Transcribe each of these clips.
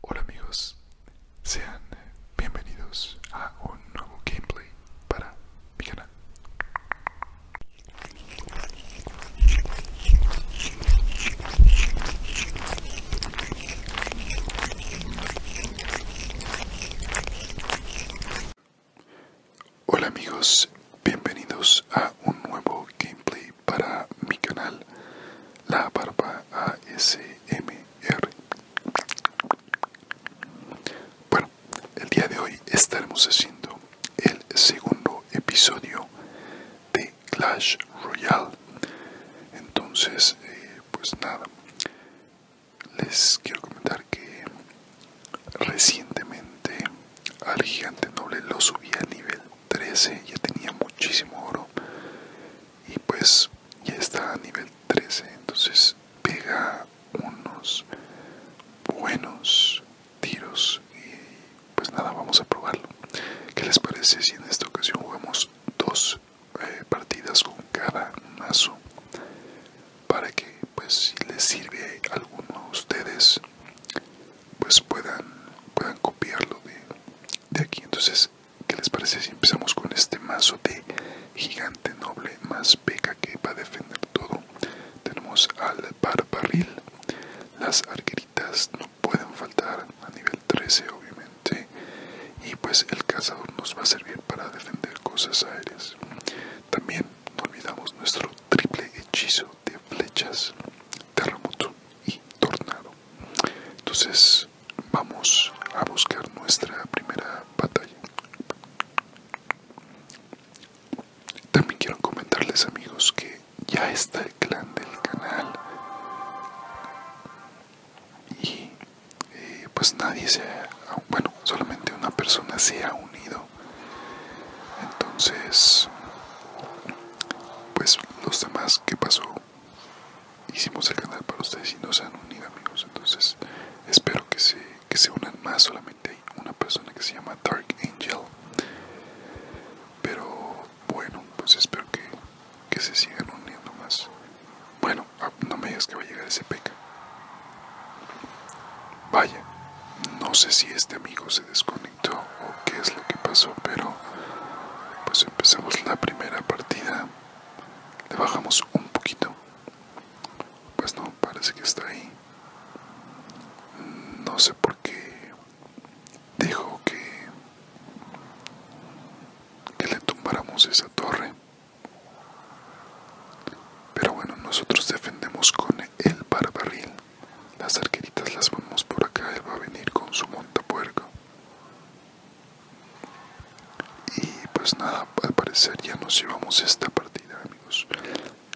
Hola amigos, sean bienvenidos a un nuevo gameplay para mi canal. Hola amigos, bienvenidos a un nuevo gameplay para mi canal. La Barba ASMR. Bueno, el día de hoy estaremos haciendo el segundo episodio de Clash Royale. Entonces, eh, pues nada, les quiero comentar que recientemente al gigante noble lo subí a nivel 13, ya tenía muchísimo oro y pues ya está a nivel 13 entonces pega unos buenos tiros y pues nada vamos a probarlo ¿Qué les parece si en esta ocasión jugamos dos eh, partidas con cada mazo para que pues si les sirve alguno a ustedes pues puedan puedan copiarlo de, de aquí entonces ¿Qué les parece si empezamos con este mazo de gigante noble más peca que va a defender todo? Tenemos al Barbarril, Las arqueritas no pueden faltar a nivel 13 obviamente. Y pues el cazador nos va a servir para defender cosas aéreas. También no olvidamos nuestro triple hechizo de flechas, terremoto y tornado. Entonces Vamos a buscar nuestra primera batalla. También quiero comentarles amigos que ya está el clan del canal y eh, pues nadie se ha, bueno, solamente una persona se ha unido. Entonces, pues los demás, que pasó? hicimos el canal para ustedes y no se han unido amigos entonces espero que se, que se unan más solamente hay una persona que se llama Dark Angel pero bueno pues espero que, que se sigan uniendo más bueno ah, no me digas que va a llegar ese peca vaya no sé si este amigo se desconectó o qué es lo que pasó pero pues empezamos la primera partida. Le bajamos un poquito. Pues no, parece que está ahí. No sé por qué dijo que, que le tumbáramos esa torre. Pero bueno, nosotros defendemos con el barbarril. Las arqueritas las vamos por acá. Él va a venir con su montapuerco. Y pues nada, al parecer ya nos llevamos esta partida amigos.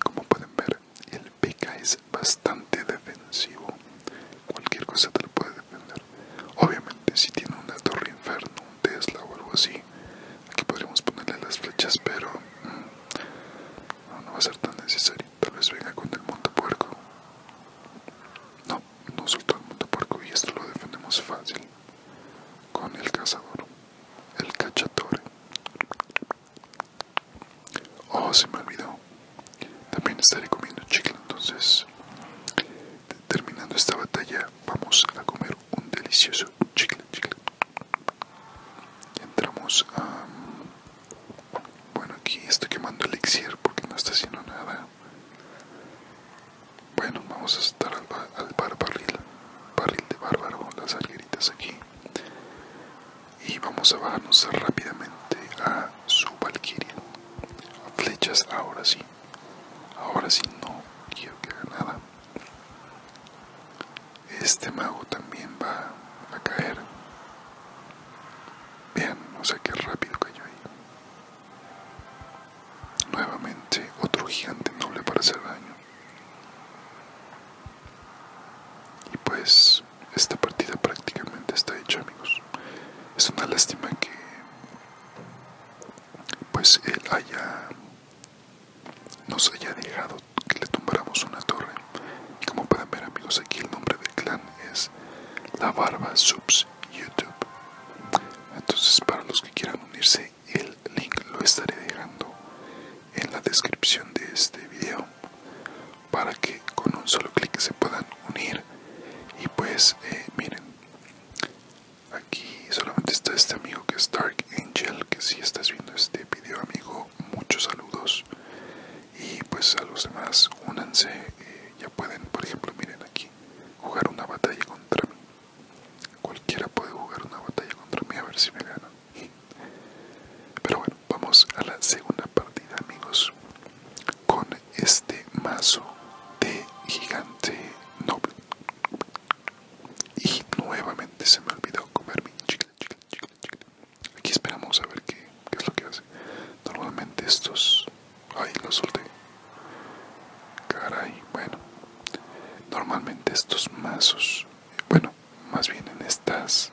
Como pueden ver, el PK es bastante defensivo. Cualquier cosa te lo puede defender. Obviamente si tiene una torre inferno, un Tesla o algo así. Aquí podríamos ponerle las flechas, pero mm, no, va a ser tan necesario. Tal vez venga con el montapuerco. No, no soltó el mundo y esto lo defendemos fácil con el cazador, el cachatore. Oh, se me olvidó. También estaré comiendo chicle, entonces terminando esta batalla vamos a comer un delicioso chicle, chicle. Entramos a... Bueno, aquí estoy quemando el elixir porque no está haciendo nada. Bueno, vamos a estar al, barbarril barril, de bárbaro, las alqueritas aquí. Y vamos a bajarnos rápidamente a su valquiria. Flechas, ahora sí. Ahora sí no quiero que haga nada. Este mago también va a caer. Bien, o sea que rápido cayó ahí. Nuevamente otro gigante noble para hacer daño. Y pues esta partida prácticamente está hecha amigos. Es una lástima que pues él haya nos haya dejado que le tumbáramos una torre. Y como pueden ver amigos aquí el nombre del clan es La Barba Subs YouTube. Entonces para los que quieran unirse, el link lo estaré dejando en la descripción de este vídeo para que con un solo clic se puedan unir. Y pues eh, miren, aquí solamente está este amigo que es Dark Angel, que si estás viendo este vídeo amigo, muchos saludos. Y pues a los demás únanse, eh, ya pueden, por ejemplo, miren jugar una batalla contra mí. Cualquiera puede jugar una batalla contra mí a ver si me gana. Pero bueno, vamos a la segunda partida amigos. Con este mazo de gigante noble. Y nuevamente se me olvidó comer mi chicle, chicle, chicle. Aquí esperamos a ver qué ¿Qué es lo que hace? Normalmente estos... Ay, lo solté. Caray, bueno. Normalmente estos mazos... Bueno, más bien en estas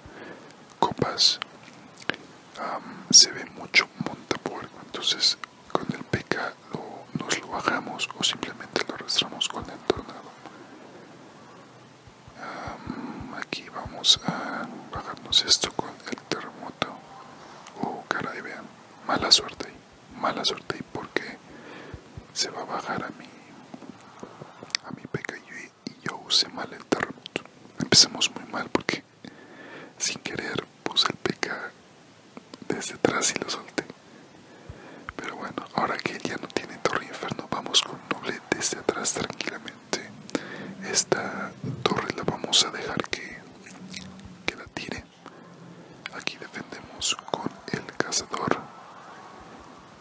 copas se ve mucho por Entonces con el PK nos lo bajamos o simplemente lo arrastramos con el tornado. aquí vamos a bajarnos esto con terremoto. Oh, caray, vean. Mala suerte. Mala suerte porque se va a bajar a mi, a mi peca y, yo use mal el terremoto. Empezamos muy mal porque sin querer puse el peca desde atrás y lo solté. Pero bueno, ahora que ya no tiene torre inferno, vamos con noble desde atrás tranquilamente. Esta torre la vamos a dejar que que la tire. Aquí defendemos con el cazador.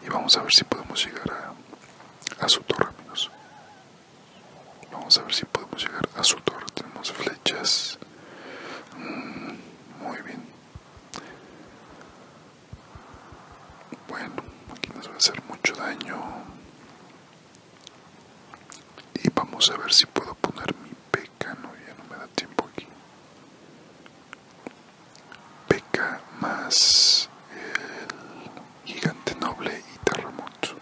Y vamos a ver si podemos llegar a, su torre, Vamos a ver si podemos llegar a su torre. Tenemos flechas. Mm, muy bien. Bueno, aquí nos va a hacer mucho daño. Y vamos a ver si puedo poner mi peca, no, ya no me da tiempo aquí. Peca más el gigante noble y terremoto.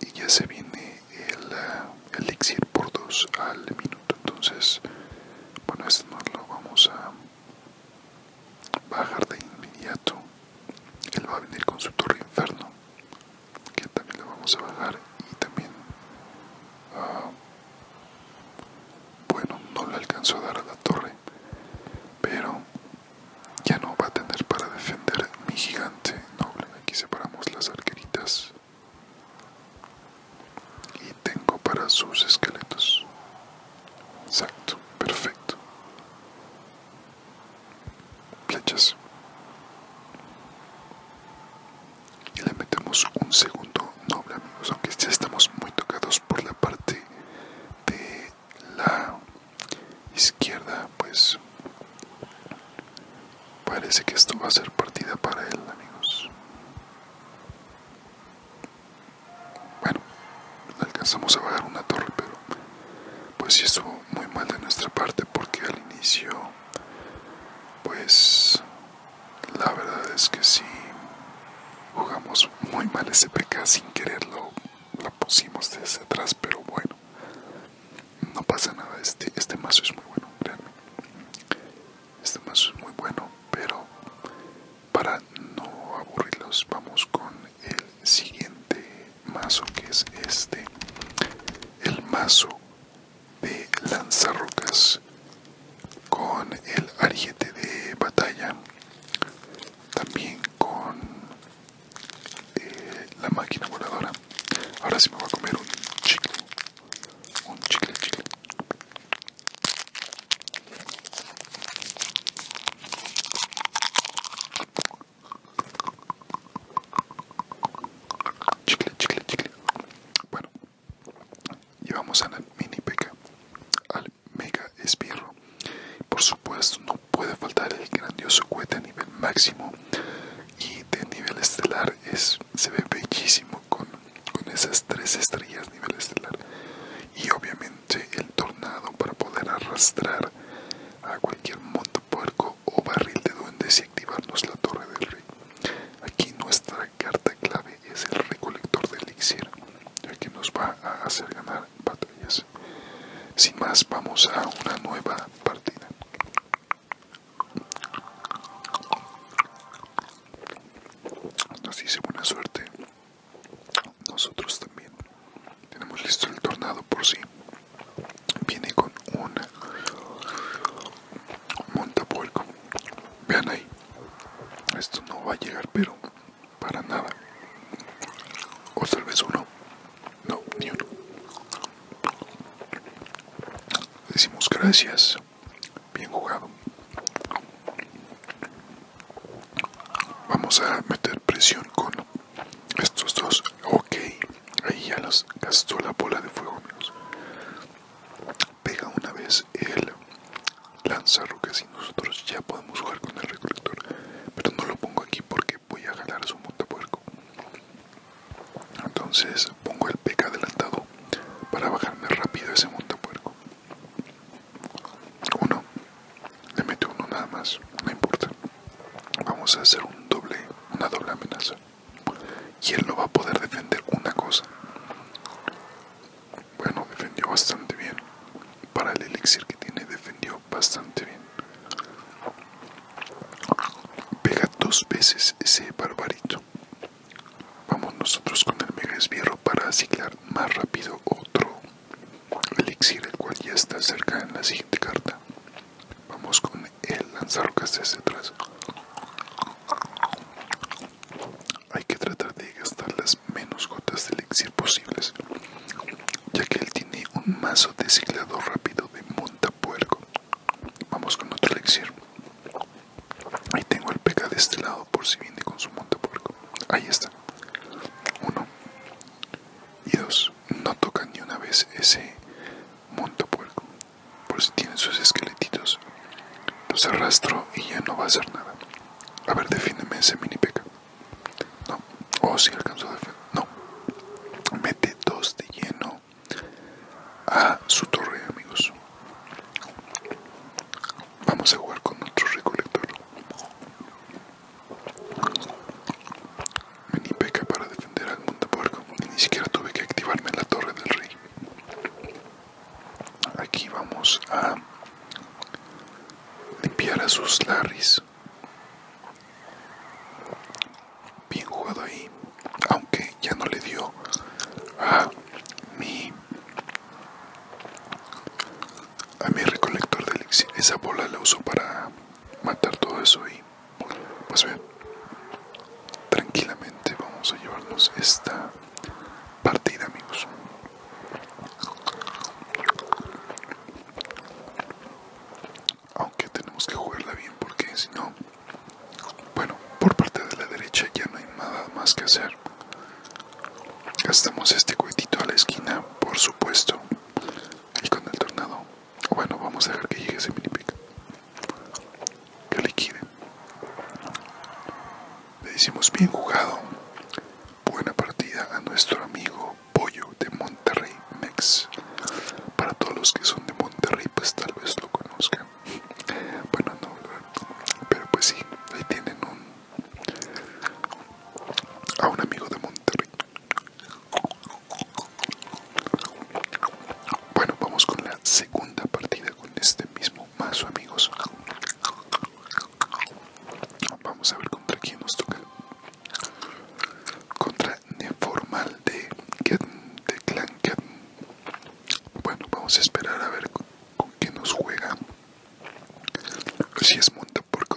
Y ya se viene el eh, elixir por dos al minuto. Entonces, bueno, esto no lo vamos a bajar de inmediato él va a venir con su torre inferno que también le vamos a bajar y también ah, bueno no le alcanzo a dar a la torre pero ya no va a tener para defender mi gigante noble aquí separamos las arqueritas y tengo para sus esqueletos exacto perfecto flechas y le metemos un segundo noble amigos aunque ya estamos muy tocados por la parte de la izquierda pues parece que esto va a ser partida para él amigos bueno alcanzamos a bajar una torre pero pues sí estuvo muy mal de nuestra parte porque al inicio pues la verdad es que sí jugamos muy mal ese PK sin quererlo la pusimos desde atrás pero bueno no pasa nada este, este mazo es muy bueno créanme este mazo es muy bueno pero para no aburrirlos vamos con el siguiente mazo que es este el mazo de lanzarrocas con el ariete de batalla también con eh, la máquina voladora ahora sí me voy a comer un chicle un chicle chicle Chicle, chicle, chicle. Bueno, llevamos a la mini peca, al mega espirro. Por supuesto, no puede faltar el grandioso cohete a nivel máximo y de nivel estelar es, se ve bellísimo con, esas tres estrellas nivel estelar y obviamente el tornado para poder arrastrar a cualquier moto puerco o barril de duendes y activarnos la torre del rey. Aquí nuestra carta clave es el recolector de elixir, ya que nos va a hacer ganar batallas. Sin más, vamos a una nueva partida. Nos dice buena suerte. Nosotros también tenemos listo el tornado por sí viene con un Montapolco vean ahí esto no va a llegar pero para nada o tal vez uno no ni uno decimos gracias bien jugado vamos a meter presión con estos dos, ok. Ahí ya los gastó la bola de fuego, Pega una vez el que y nosotros ya podemos jugar con el recolector. Pero no lo pongo aquí porque voy a jalar su montapuerco. Entonces pongo el PK adelantado para bajarme rápido ese montapuerco. Uno. Le mete uno nada más, no importa. Vamos a hacer un doble, una doble amenaza. Y él no va a poder defender una cosa. Bueno, defendió bastante bien. Para el elixir que tiene, defendió bastante bien. Pega dos veces ese barbarito. Vamos nosotros con el mega esbierro para aciclar más rápido otro elixir el cual ya está cerca en la siguiente carta vamos con el lanzarrocas desde atrás hay que tratar de gastar las menos gotas de elixir posibles ya que él tiene un mazo de ciclado rápido de montapuerco vamos con otro elixir ahí tengo el pk de este lado por si viene con su montapuerco ahí está uno y dos, no tocan ni una vez ese monto puerco, por pues si tienen sus esqueletitos. Los arrastro y ya no va a hacer nada. A ver, defiéndeme ese mini peca. No, o oh, si alcanzó a defender. No, mete dos de lleno a su torre, amigos. Vamos a jugar con otro recolector. Vení peca para defender al porco ni siquiera tuve que activarme en la torre del rey. Aquí vamos a limpiar a sus larris. Bien jugado ahí, aunque ya no le dio a mi a mi recolector de elixir. Esa bola la uso para matar todo eso y pues bien tranquilamente vamos a llevarnos esta partida amigos aunque tenemos que jugarla bien porque si no bueno por parte de la derecha ya no hay nada más que hacer gastamos este cohetito a la esquina por supuesto y con el tornado bueno, vamos a dejar que llegue ese mini pick. Que liquide. Le decimos bien jugado. Buena partida a nuestro amigo Pollo de Monterrey Mex. Para todos los que son de Monterrey, pues tal vez lo conozcan. Bueno, no, pero pues sí, ahí tienen a un amigo de Monterrey. Bueno, vamos con la segunda partida con este mismo mazo, amigos. Vamos a ver contra quién nos toca. Contra Neformal de, Clan Cat. Bueno, vamos a esperar a ver con, quién nos juega. Si es porque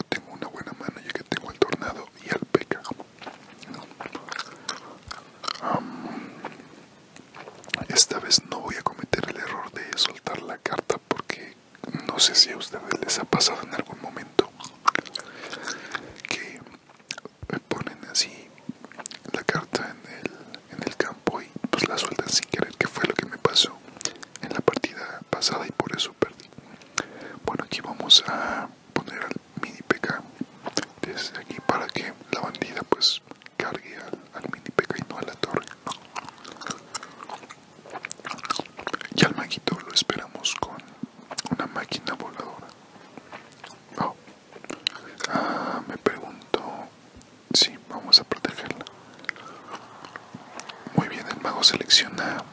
tengo una buena mano ya que tengo al Tornado y al Peca esta vez no voy a cometer el error de soltar la carta porque no sé si a ustedes les ha pasado en algún momento que ponen así la carta en en el campo y pues la sueltan sin querer, que fue lo que me pasó en la partida pasada y por eso perdí. Bueno, aquí vamos a poner al mini PK desde aquí para que la bandida pues cargue al, mini PK y no a la torre y al maguito lo esperamos con una máquina voladora oh. ah, me pregunto si vamos a protegerla muy bien el mago selecciona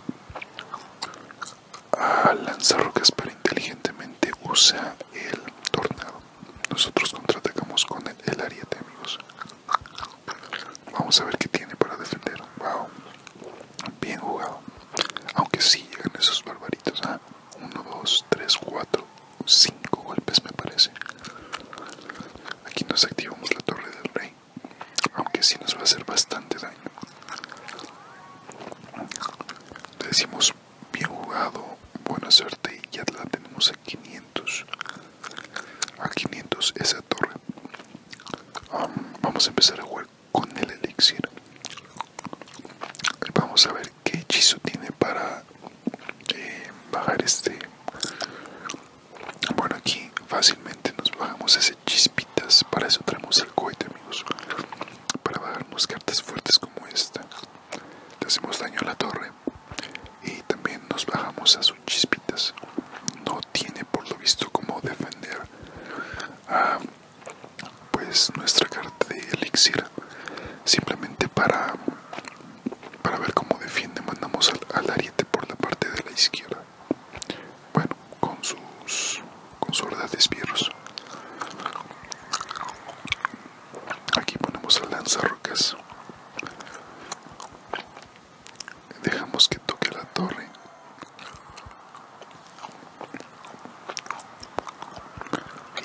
a lanzar rocas para inteligentemente usa el tornado. Nosotros contraatacamos con el, área ariete, amigos. Vamos a ver qué tiene para defender. Wow, bien jugado. Aunque si llegan esos barbaritos. 1, 2, 3, 4, 5 golpes me parece. Aquí nos activamos la torre del rey aunque si nos va a hacer bastante daño. decimos bien jugado, buena suerte y ya la tenemos a 500. A 500 esa torre. vamos a empezar a jugar con el elixir. Vamos a ver qué hechizo tiene para eh, bajar este. Bueno, aquí fácilmente nos bajamos ese hechizo. Para eso traemos el cohete, amigos. Para bajarnos cartas fuertes como esta. le hacemos daño a la torre. Y también nos bajamos a sus chispitas. No tiene por lo visto cómo defender. Ah, pues nuestra carta de elixir. Simplemente para, para ver cómo defiende mandamos al, al ariete por la parte de la izquierda bueno con sus con su de despierros aquí ponemos el lanzarrocas dejamos que toque la torre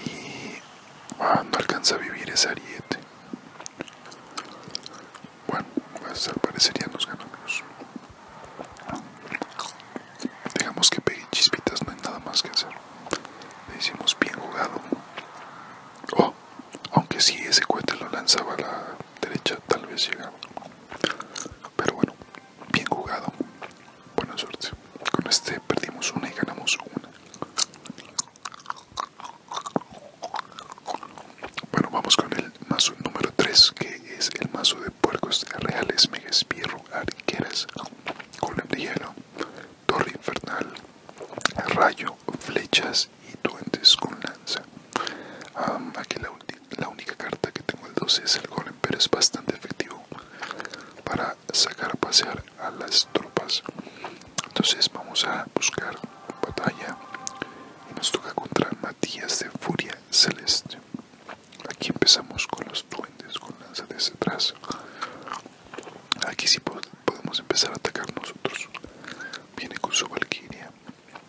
y ah, no alcanza a vivir esa ariete bueno pues al parecer ya nos ganamos Dejamos que pegue chispitas, no hay nada más que hacer. Le hicimos bien jugado. Oh, aunque si ese cohete lo lanzaba a la derecha, tal vez llegaba. Pero bueno, bien jugado. Buena suerte. Con este perdimos una y ganamos una. Bueno, vamos con el mazo número 3 que es el mazo de puercos reales, mega espirro, arqueras, golem de hielo, torre infernal, rayo, flechas y duendes con lanza. la, única carta que tengo el 12 es el golem, pero es bastante efectivo para sacar a pasear a las tropas. Entonces vamos a buscar batalla y nos toca contra Matías de Furia Celeste. Aquí empezamos con los duendes con lanza desde atrás. Aquí sí podemos empezar a atacar nosotros. Viene con su valquiria.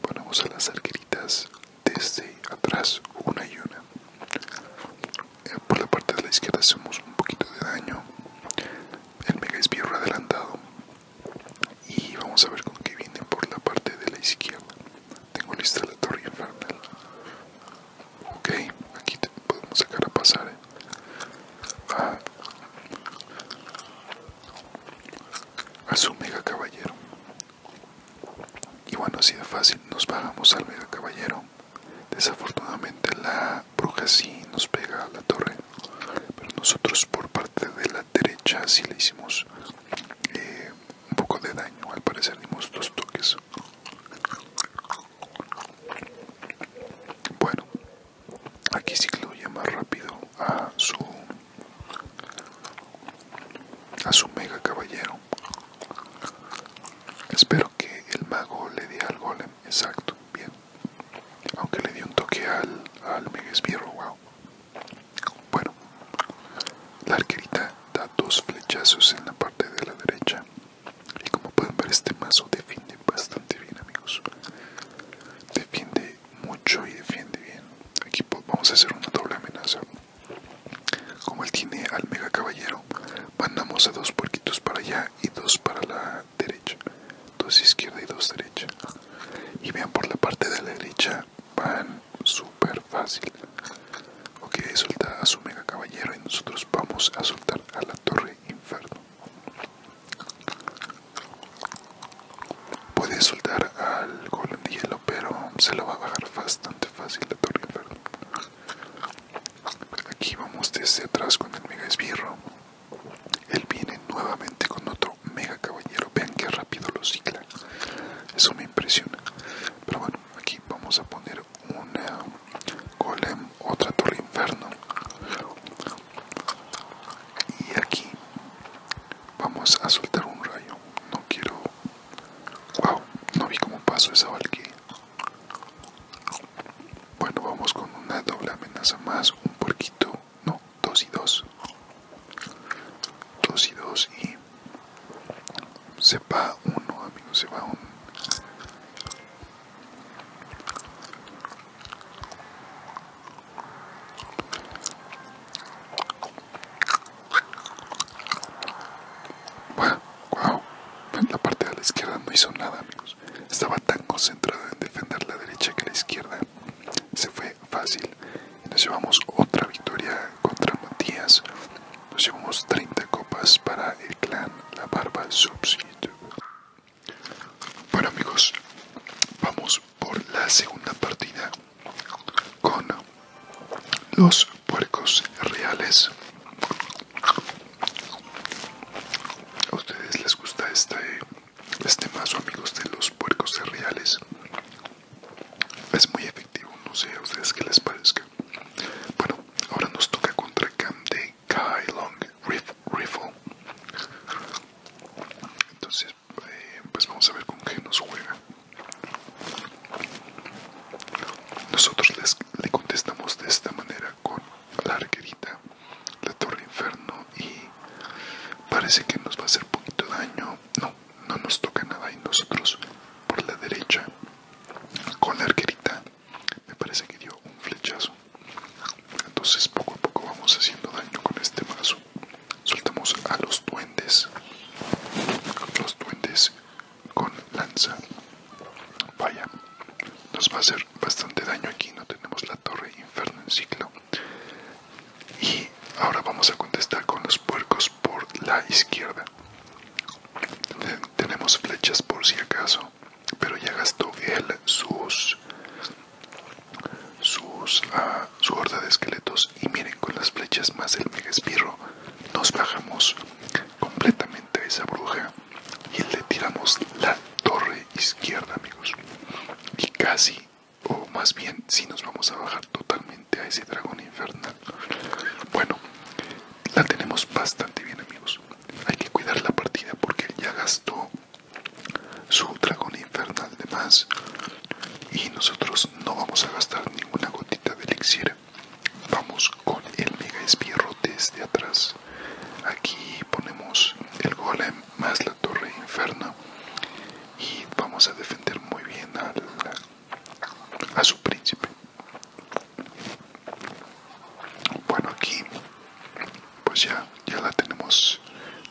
Ponemos a las arqueritas desde atrás, una y una. Eh, por la parte de la izquierda hacemos un poquito de daño. El mega esbirro adelantado. Y vamos a ver con qué viene por la parte de la izquierda. Tengo lista la torre infernal. Ok, aquí podemos sacar a pasar. Eh. Ah. A su mega caballero. Y bueno, ha sido fácil nos bajamos al mega caballero. Desafortunadamente la bruja sí nos pega a la torre. Pero nosotros por parte de la derecha sí le hicimos eh, un poco de daño, al parecer dimos dos toques. Bueno, aquí cicluye más rápido a su a su mega caballero. Espero que el mago le dé al golem, exacto, bien. Aunque le dio un toque al, al mega esbirro, wow. Bueno, la arquerita da dos flechazos en la parte de la derecha. Y como pueden ver, este mazo defiende bastante bien, amigos. Defiende mucho y defiende bien. Aquí vamos a hacer una doble amenaza. Como él tiene al mega caballero, mandamos a dos puerquitos para allá y dos para la derecha. Dos izquierda y dos derecha. Y vean por la parte de la derecha, Van súper fácil. Ok, suelta a su mega caballero y nosotros vamos a soltar a la torre inferno. Puede soltar al golem de hielo, pero se lo va a bajar bastante fácil la torre inferno. Aquí vamos desde atrás con el mega esbirro. Él viene nuevamente con otro mega caballero. Vean que rápido lo cicla. Eso me impresiona pero bueno aquí vamos a poner una eh, golem otra torre inferno y aquí vamos a soltar un rayo no quiero wow no vi cómo pasó esa valquiria bueno vamos con una doble amenaza más un puerquito no dos y dos 2 y 2 y se va uno amigos se va uno Wow, la parte de la izquierda no hizo nada, amigos. Estaba tan concentrado en defender la derecha que la izquierda se fue fácil nos llevamos otra victoria contra Matías. Nos llevamos 30 copas para el clan La Barba Subs Bueno amigos, vamos por la segunda partida con los puercos reales. ¿A ustedes les gusta este, este mazo amigos de los puercos reales? Es muy efectivo no sé a ustedes qué les parezca. Bueno, ahora nos toca contra Cam de Kai Long Entonces, eh, pues vamos a ver con qué nos juega. Nosotros le contestamos de esta manera con la arquerita, la torre inferno y parece que nos va a hacer poquito daño. No, no nos toca nada y nosotros por la derecha con la arquerita me parece que dio un flechazo entonces poco a poco vamos haciendo daño con este mazo soltamos a los duendes los duendes con lanza vaya nos va a hacer bastante daño aquí no tenemos la torre inferno en ciclo y ahora vamos a contestar con los puercos por la izquierda. Tenemos flechas por si acaso, pero ya gastó él sus sus ah, su horda de esqueletos y miren con las flechas más el mega espirro nos bajamos completamente a esa bruja y le tiramos la torre izquierda amigos y casi o más bien si nos vamos a bajar totalmente a ese dragón infernal. Bueno, la tenemos bastante bien amigos. Hay que cuidar la partida porque ya gastó su dragón infernal de más y nosotros no vamos a gastar ninguna gotita de elixir. Vamos con el mega espierro desde atrás. Aquí ponemos el golem más la torre inferna y vamos a defender muy bien al a su príncipe. Bueno, aquí pues ya, ya la tenemos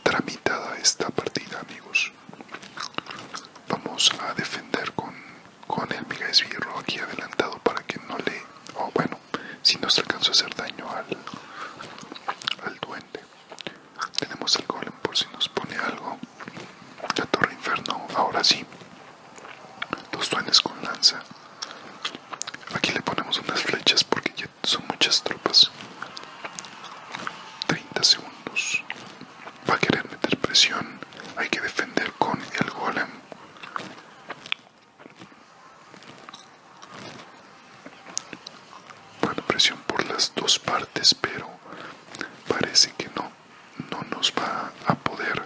tramitada esta partida, amigos. Vamos a defender con, con el mega esbirro aquí adelantado para que no le... o bueno, si nos alcanza a hacer daño al, al duende. Tenemos el golem por si nos pone algo. La torre inferno, ahora sí. Dos duendes con lanza. Aquí le ponemos unas flechas porque ya son muchas tropas. 30 segundos. Va a querer meter presión. Hay que defender con el golem. Bueno, presión por las dos partes, pero parece que no no nos va a poder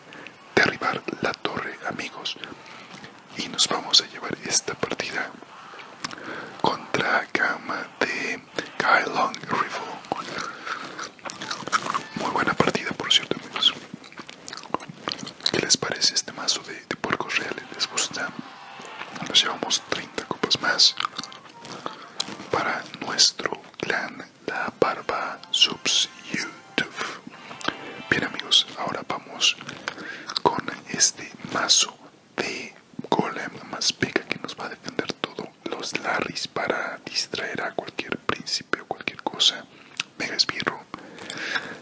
derribar la torre amigos y nos vamos a llevar esta partida contra gama de Kailong rifle muy buena partida por cierto amigos ¿qué les parece este mazo de, de puercos reales? ¿les gusta? nos llevamos 30 copas más para nuestro clan la barba subs youtube bien amigos ahora vamos con este mazo de golem Pega que nos va a defender todos los larris para distraer a cualquier príncipe o cualquier cosa mega esbirro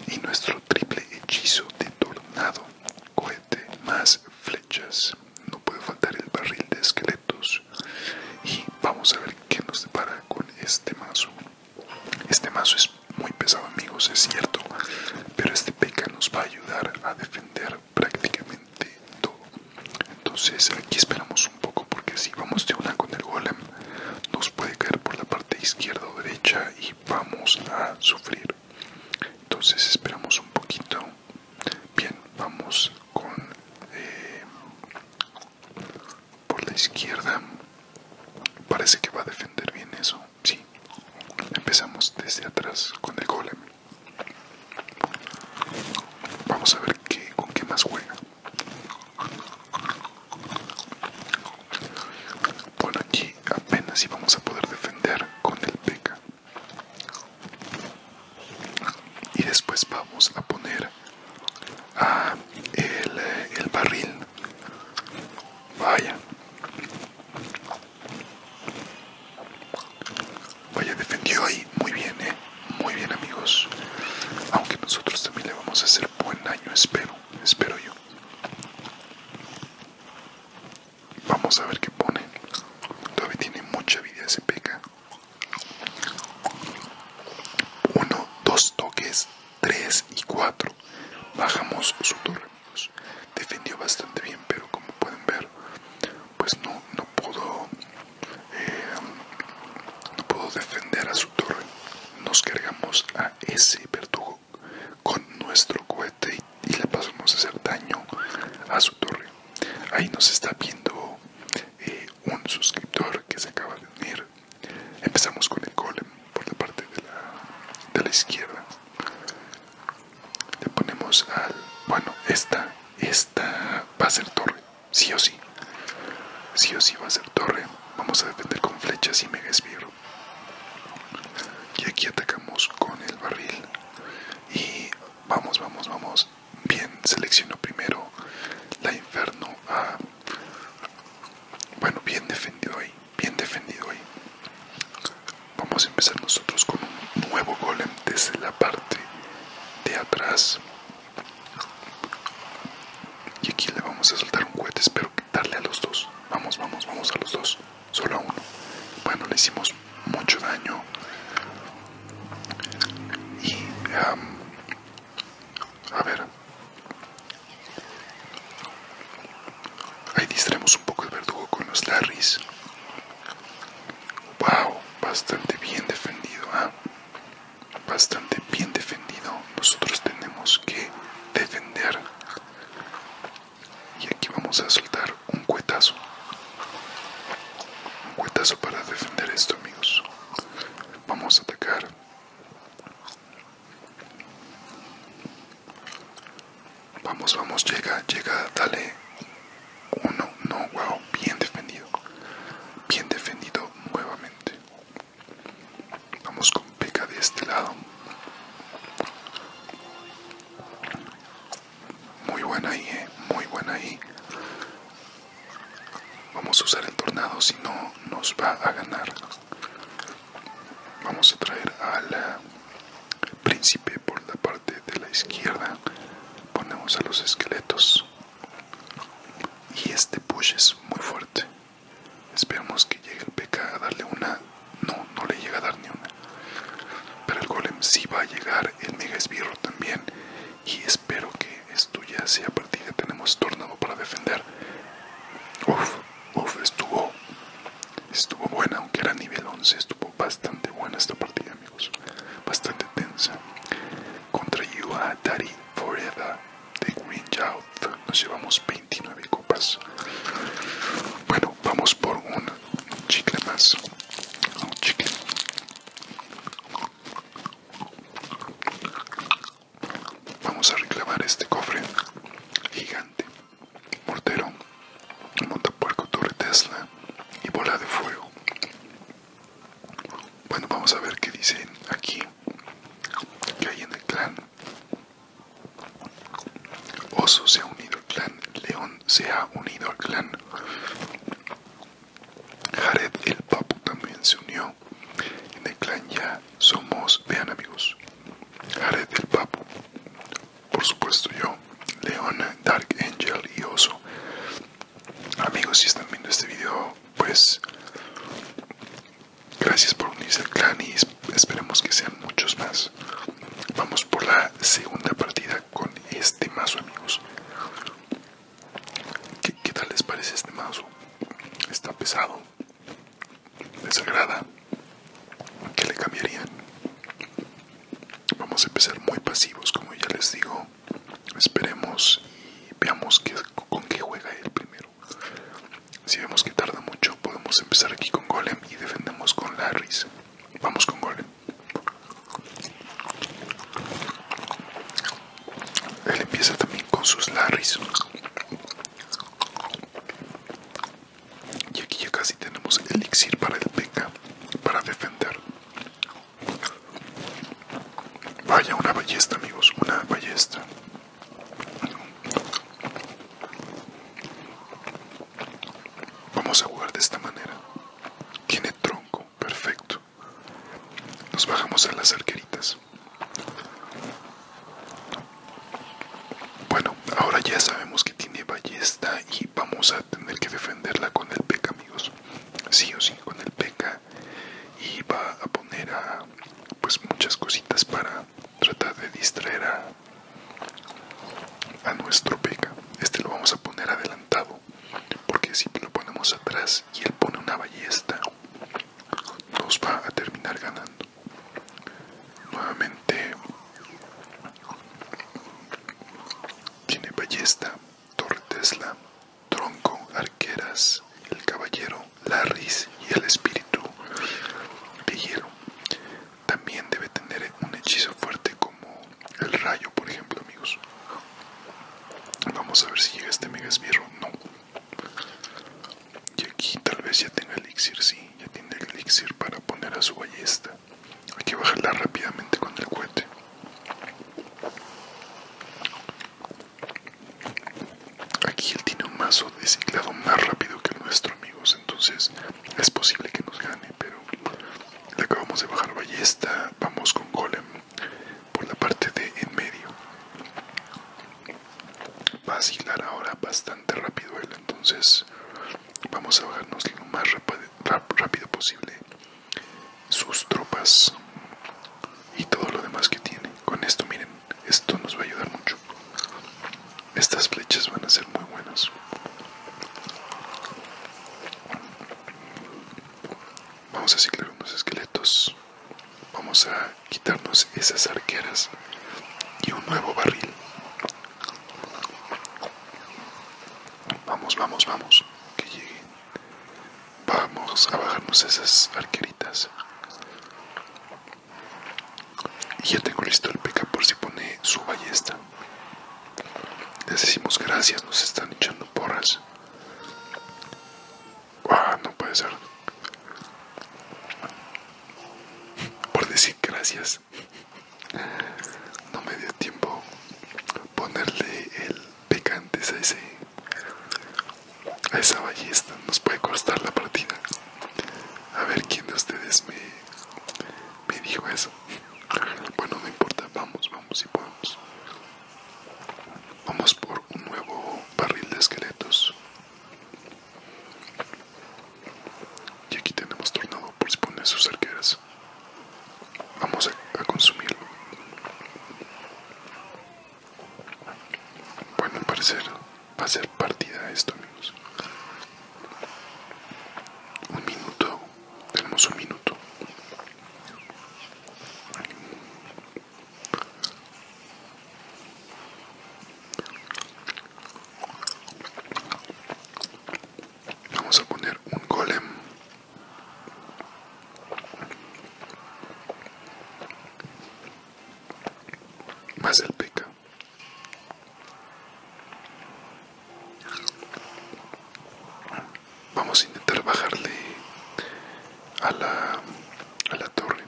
y nuestro triple hechizo de tornado cohete más flechas no puede faltar el barril de esqueleto y vamos a ver qué nos depara con este mazo este mazo es muy pesado amigos es cierto pero este peca nos va a ayudar a defender prácticamente todo entonces aquí esperamos un poco porque si vamos de una con el golem nos puede caer por la parte izquierda o derecha y vamos a sufrir entonces esperamos un poquito Bien, vamos con eh, por la izquierda. Parece que va a defender bien eso. Sí, empezamos desde atrás con el golem. Vamos a ver qué, con qué más juega. Bueno, aquí apenas íbamos a poder defender con el peca y después vamos a poner el, eh, el barril vaya vaya defendió ahí muy bien ¿eh? muy bien amigos aunque nosotros también le vamos a hacer buen año espero espero yo vamos a ver qué pone todavía tiene mucha vida ese peca 1, 2 toques, 3 y 4. Bajamos su torre, amigos. Defendió bastante bien, pero como pueden ver, pues no, no pudo eh, no puedo defender a su torre. Nos cargamos a ese verdugo con nuestro cohete y le pasamos a hacer daño a su torre. Ahí nos está viendo un suscriptor que se acaba de unir. Empezamos con el golem por la parte de la, izquierda. Le ponemos al... Bueno, esta, esta va a ser torre, sí o sí. Sí o sí va a ser torre. Vamos a defender con flechas y mega espiro Y aquí atacamos con el barril. Y vamos, vamos, vamos. Bien, selecciono primero la Inferno Bueno, bien defendido ahí, bien defendido ahí. Vamos a empezar nosotros con un nuevo golem desde la parte de atrás. Y aquí le vamos a soltar un cohete, espero que darle a los dos. Vamos, vamos, vamos a los dos. Solo a uno. Bueno, le hicimos mucho daño y a ver ahí distraemos un poco el verdugo con los larris wow bastante bien defendido ¿ah? bastante bien defendido nosotros tenemos que defender y aquí vamos a soltar un cuetazo Cuetazo para defender esto, amigos. Vamos a atacar. Vamos, vamos, llega, llega, dale. Uno, no, wow, bien defendido. Bien defendido nuevamente. Vamos con Peca de este lado. Muy buena ahí, ¿eh? Muy buena ahí. Vamos a usar el tornado, si no nos va a ganar. Vamos a traer al príncipe por la parte de la izquierda. Ponemos a los esqueletos. Y este push es muy fuerte. esperamos que llegue el PK a darle una. No, no le llega a dar ni una. Pero el golem si va a llegar. El mega esbirro también y espero que esto ya sea partida tenemos tornado para defender. Uf, uf, estuvo, estuvo buena, aunque era nivel 11, estuvo bastante buena esta partida amigos, bastante tensa. Contra Yuatari, uh, Forever de Green Youth nos llevamos 29 copas. Bueno, vamos por un chicle más. Un chicle. Vamos a reclamar este cofre gigante. Mortero, montapuerco, torre Tesla y bola de fuego. Bueno, vamos a ver qué dicen aquí. Que hay en el clan. Oso se ha unido al clan. León se ha unido al clan. Jared el Papu también se unió. En el clan ya somos, vean amigos, Jared el Papu, por supuesto yo, Leona, Dark Angel y Oso. Amigos, si están viendo este video, pues gracias por unirse al clan y esperemos que sean muchos más. Vamos por la segunda partida con este mazo, amigos. ¿Qué, tal les parece este mazo? Está pesado. ¿Les agrada? ¿Qué le cambiarían? Vamos a empezar muy pasivos, como ya les digo. Esperemos y veamos con qué juega él primero. Si vemos que tarda mucho, podemos empezar aquí con Golem y defendemos con Larrys. Vamos con Golem. Él empieza también con sus larris. Y aquí ya casi tenemos elixir para el peca, para defender. Vaya, una ballesta, amigos, una ballesta. Vamos a jugar de esta manera. Tiene tronco, perfecto. Nos bajamos a las arqueritas. Bueno, ahora ya sabemos que tiene ballesta y vamos a tener que defenderla con el PK, e amigos. Sí o sí, con el PK. E y va a poner a, pues muchas cositas para tratar de distraer a, nuestro PK. E este lo vamos a poner adelantado porque si lo ponemos atrás y él pone una ballesta, nos va a terminar ganando. Nuevamente tiene ballesta, torre Tesla, tronco, arqueras, el caballero, la Larris y el espíritu de hielo. También debe tener un hechizo fuerte como el rayo, por ejemplo, amigos. Vamos a ver si llega este mega esbirro. No. Y aquí tal vez ya tenga elixir, sí. Ya tiene el elixir para poner a su ballesta. Hay que bajarla rápidamente con el cohete. Aquí él tiene un mazo de más rápido que el nuestro, amigos. Entonces es posible que nos gane, pero le acabamos de bajar ballesta. Vamos con golem por la parte de en medio va a girar ahora bastante rápido él entonces vamos a bajarnos lo más rápido posible sus tropas y todo lo demás que tiene con esto miren esto nos va a ayudar mucho estas flechas van a ser muy buenas Vamos a ciclar unos esqueletos. Vamos a quitarnos esas arqueras y un nuevo barril. Vamos, vamos, vamos. Que llegue Vamos a bajarnos esas arqueritas. Y ya tengo listo el peca por si pone su ballesta. Les decimos gracias, nos están echando porras. Ah, no puede ser. Por decir gracias. No me dio tiempo ponerle el picante a ese a esa ballesta. Nos puede costar la partida. A ver quién de ustedes me, me dijo eso. Bueno, no importa. Vamos, vamos y podemos. Vamos por un nuevo barril de esqueletos. Y aquí tenemos tornado por si sus arqueras. Vamos a, consumirlo. Bueno, parece... parecer va a ser partida esto, amigos. Un minuto tenemos un minuto. Vamos a poner un golem. Más el peca vamos a intentar bajarle a la, a la torre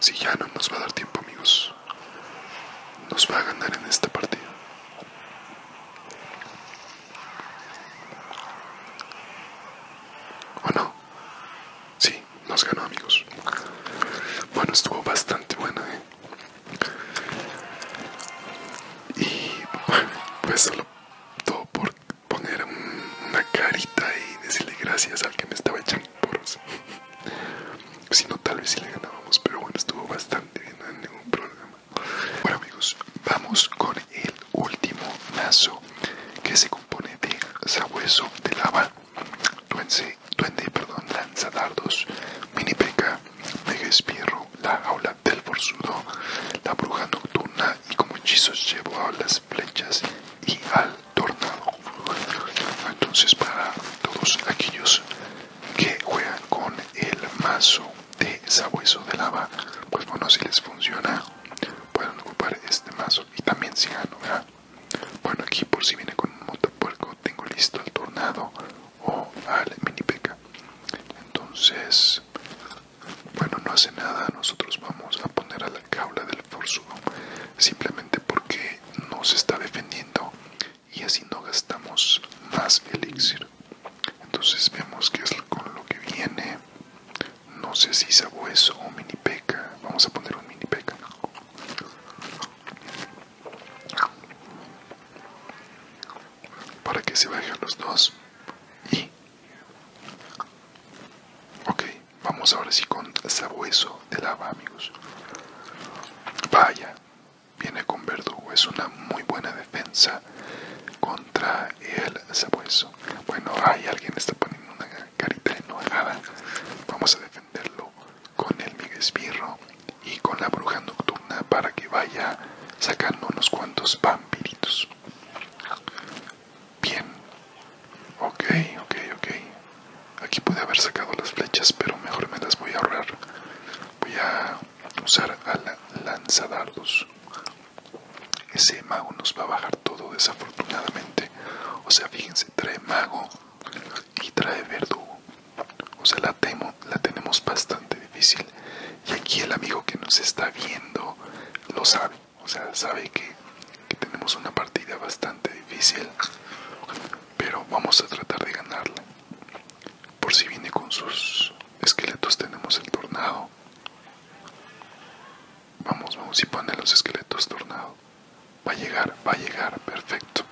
si ya no nos va a dar tiempo amigos, nos va a ganar en esta partida. ¿O no? Sí, nos ganó amigos. Bueno, estuvo bastante buena, ¿eh? Y bueno, pues solo todo por poner una carita y decirle gracias al que me estaba echando porros. si no, tal vez si le ganábamos, pero bueno, estuvo bastante bien, no hay ningún problema. Bueno, amigos, vamos con el último mazo que se compone de sabueso de lava, duende, duende perdón, mini peca, de espierro, la jaula del forzudo, la bruja nocturna y como hechizos llevo a las flechas y al tornado. Entonces para todos aquellos que juegan con el mazo de sabueso de lava, pues bueno, si les funciona, pueden ocupar este mazo y también si gano, Bueno, aquí por si viene con un motopuerco, tengo listo al tornado o al mini peca. Entonces, bueno, no hace nada, nosotros vamos a poner a la caula del forzudo simplemente porque no se está defendiendo y así no gastamos más elixir. Entonces vemos que es con lo que viene. No sé si sabueso o mini peca. Vamos a poner un mini peca. Para que se bajen los dos. Y Ok, vamos ahora sí con sabueso de lava, amigos. Vaya, viene con verdugo, es una muy buena defensa contra el sabueso. Bueno, hay alguien está poniendo una carita enojada. Vamos a defenderlo con el miguesbirro y con la bruja nocturna para que vaya sacando unos cuantos vampiritos. Bien. Ok, ok, ok. Aquí puede haber sacado las flechas, pero mejor me las voy a ahorrar. Voy a usar a la lanzadardos. Ese mago nos va a bajar todo desafortunadamente. O sea, fíjense, trae mago y trae verdugo. O sea, la temo, la tenemos bastante difícil. Y aquí el amigo que nos está viendo lo sabe o sea, sabe que, tenemos una partida bastante difícil, pero vamos a tratar de ganarla. Por si viene con sus esqueletos, tenemos el tornado. Vamos, vamos si pone los esqueletos tornado. Va a llegar, va a llegar, perfecto.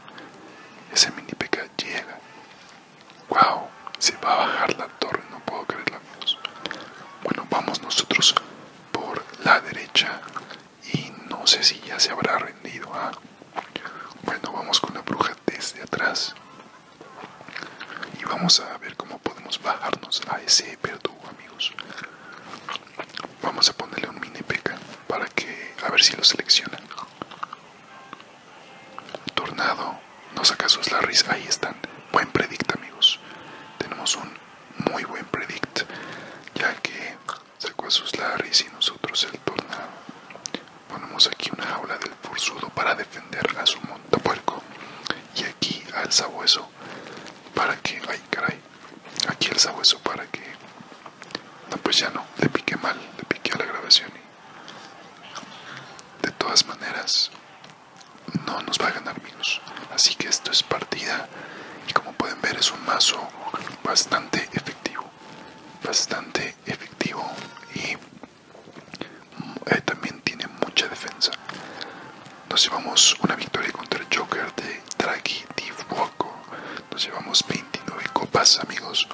Ese mini peca llega. Wow, se va a bajar la torre, no puedo creerlo amigos. Bueno, vamos nosotros por la derecha y no sé si ya se habrá rendido. a. ¿ah? Bueno, vamos con la bruja desde atrás y vamos a ver cómo podemos bajarnos a ese verdugo, amigos. Vamos a ponerle un mini peca para que a ver si lo selecciona. Tornado, no saca sus larris, ahí están. Buen predict, amigos. Tenemos un muy buen predict, ya que sacó a sus larris y nosotros el torna Ponemos aquí una jaula del forzudo para defender a su montapuerco. Y aquí al sabueso para que. Ay, caray. Aquí el sabueso para que. No, pues ya no. Le piqué mal. Le piqué a la grabación. De todas maneras, no nos va a ganar menos así que esto es partida y como pueden ver es un mazo bastante efectivo bastante efectivo y mm, eh, también tiene mucha defensa nos llevamos una victoria contra el Joker de Draghi Tifuoco nos llevamos 29 copas amigos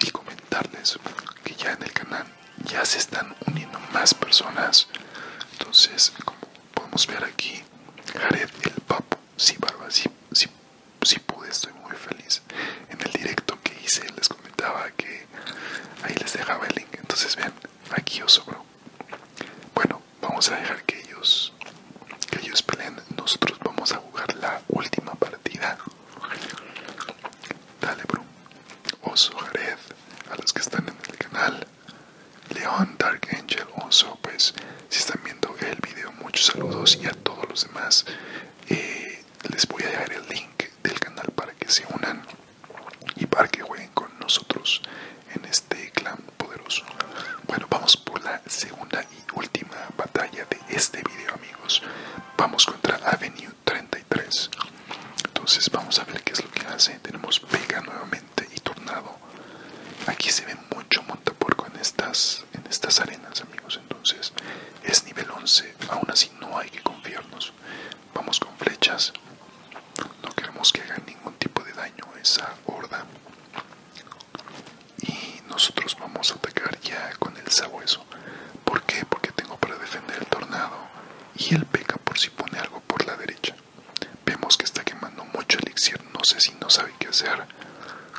y comentarles que ya en el canal ya se están uniendo más personas. Entonces, como podemos ver aquí, Jared el Papo, sí, barba, sí, si pude, estoy muy feliz. En el directo que hice les comentaba que ahí les dejaba el link. Entonces, vean, aquí oso bro Bueno, vamos a dejar que ellos, que ellos peleen. Nosotros vamos a jugar la última partida. Dale, bro. Oso, Jared a los que están en el canal León Dark Angel Oso pues si están viendo el video muchos saludos y a todos los demás eh, les voy a dejar el link del canal para que se unan y para que jueguen con nosotros en este clan poderoso bueno vamos por la segunda y última batalla de este video amigos vamos contra Avenue 33 entonces vamos a ver qué es lo que hace tenemos pega nuevamente y tornado aquí se ve mucho montapuerco en estas en estas arenas amigos entonces es nivel 11 aún así no hay que confiarnos vamos con flechas no queremos que hagan ningún tipo de daño esa horda y nosotros vamos a atacar ya con el sabueso ¿por qué? porque tengo para defender el tornado y el peca por si pone algo por la derecha. Vemos que está quemando mucho elixir, no sé si no sabe qué hacer.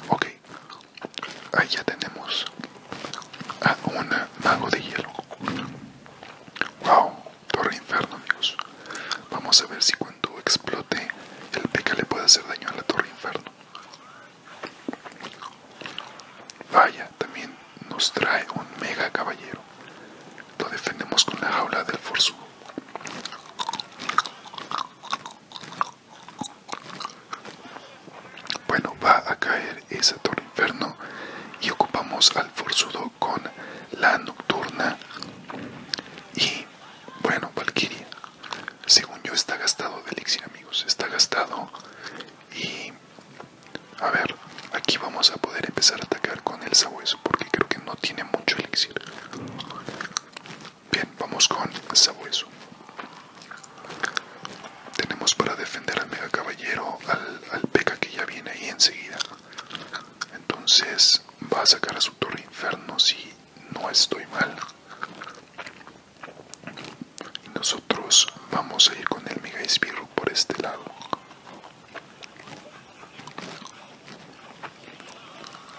Ok, ahí ya tenemos a una mago de hielo. Wow, torre inferno amigos. Vamos a ver si cuando explote el peca le puede hacer daño a la torre inferno. Vaya, también nos trae un mega caballero. Lo defendemos con la jaula del forzudo. Bueno, va a caer esa torre inferno y ocupamos al forzudo con la nocturna y bueno, Valkyria. Según yo está gastado de elixir amigos, está gastado y a ver, aquí vamos a poder empezar a atacar con el sabueso porque creo que no tiene mucho elixir. Bien, vamos con sabueso. Tenemos para defender al mega caballero, al, al que ya viene ahí enseguida. Entonces va a sacar a su torre inferno si no estoy mal. Y nosotros vamos a ir con el mega espirro por este lado.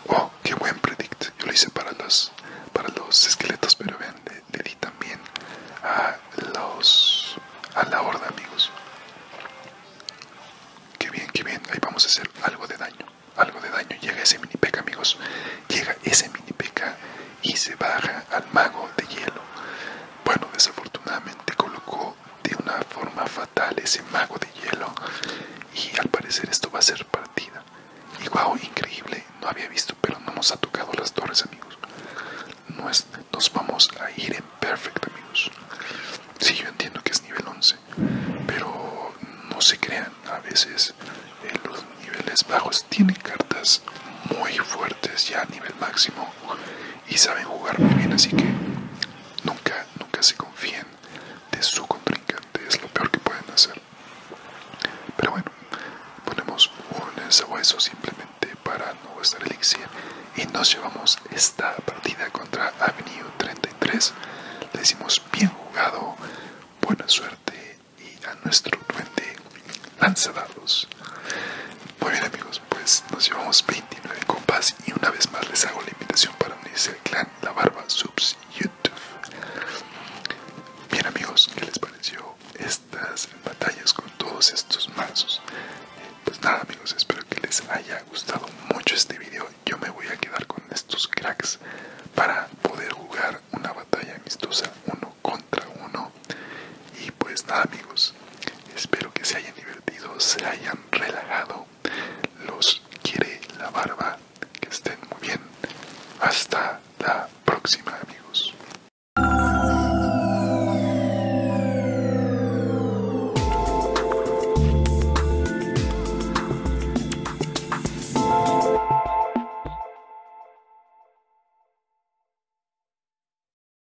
Oh, qué buen predict. Yo lo hice para los, para los esqueletos, pero vean, le, di también a los a la horda, amigos. Qué bien, qué bien. Ahí vamos a hacer algo de daño. Algo de daño. Llega ese mini peca, amigos. Llega ese mini peca y se baja al mago de hielo. Bueno, desafortunadamente colocó de una forma fatal ese mago de hielo y al parecer esto va a ser partida. Y wow, increíble, no había visto, pero no nos ha tocado las torres, amigos. Nos, nos vamos a ir en perfecto amigos. si yo entiendo que es nivel 11, pero no se crean, a veces eh, los niveles bajos tienen cartas muy fuertes ya a nivel máximo y saben jugar muy bien, así que nunca, nunca se confíen de su contrincante, es lo peor que pueden hacer. Pero bueno, ponemos un sabueso simplemente para no gastar elixir y nos llevamos esta partida contra avenido 33. Le decimos bien jugado, buena suerte y a nuestro duende lanza dados. Muy bien amigos pues nos llevamos 29 copas y una vez más les hago la invitación para unirse al clan La Barba Subs YouTube. Bien amigos, ¿qué les pareció estas batallas con todos estos mazos? Eh, pues nada amigos, espero que les haya gustado mucho este video. Yo me voy a quedar con estos cracks para poder jugar una batalla amistosa uno contra uno. Y pues nada amigos, Espero que se hayan divertido, se hayan relajado. Los quiere la barba. Que estén muy bien. Hasta la próxima, amigos.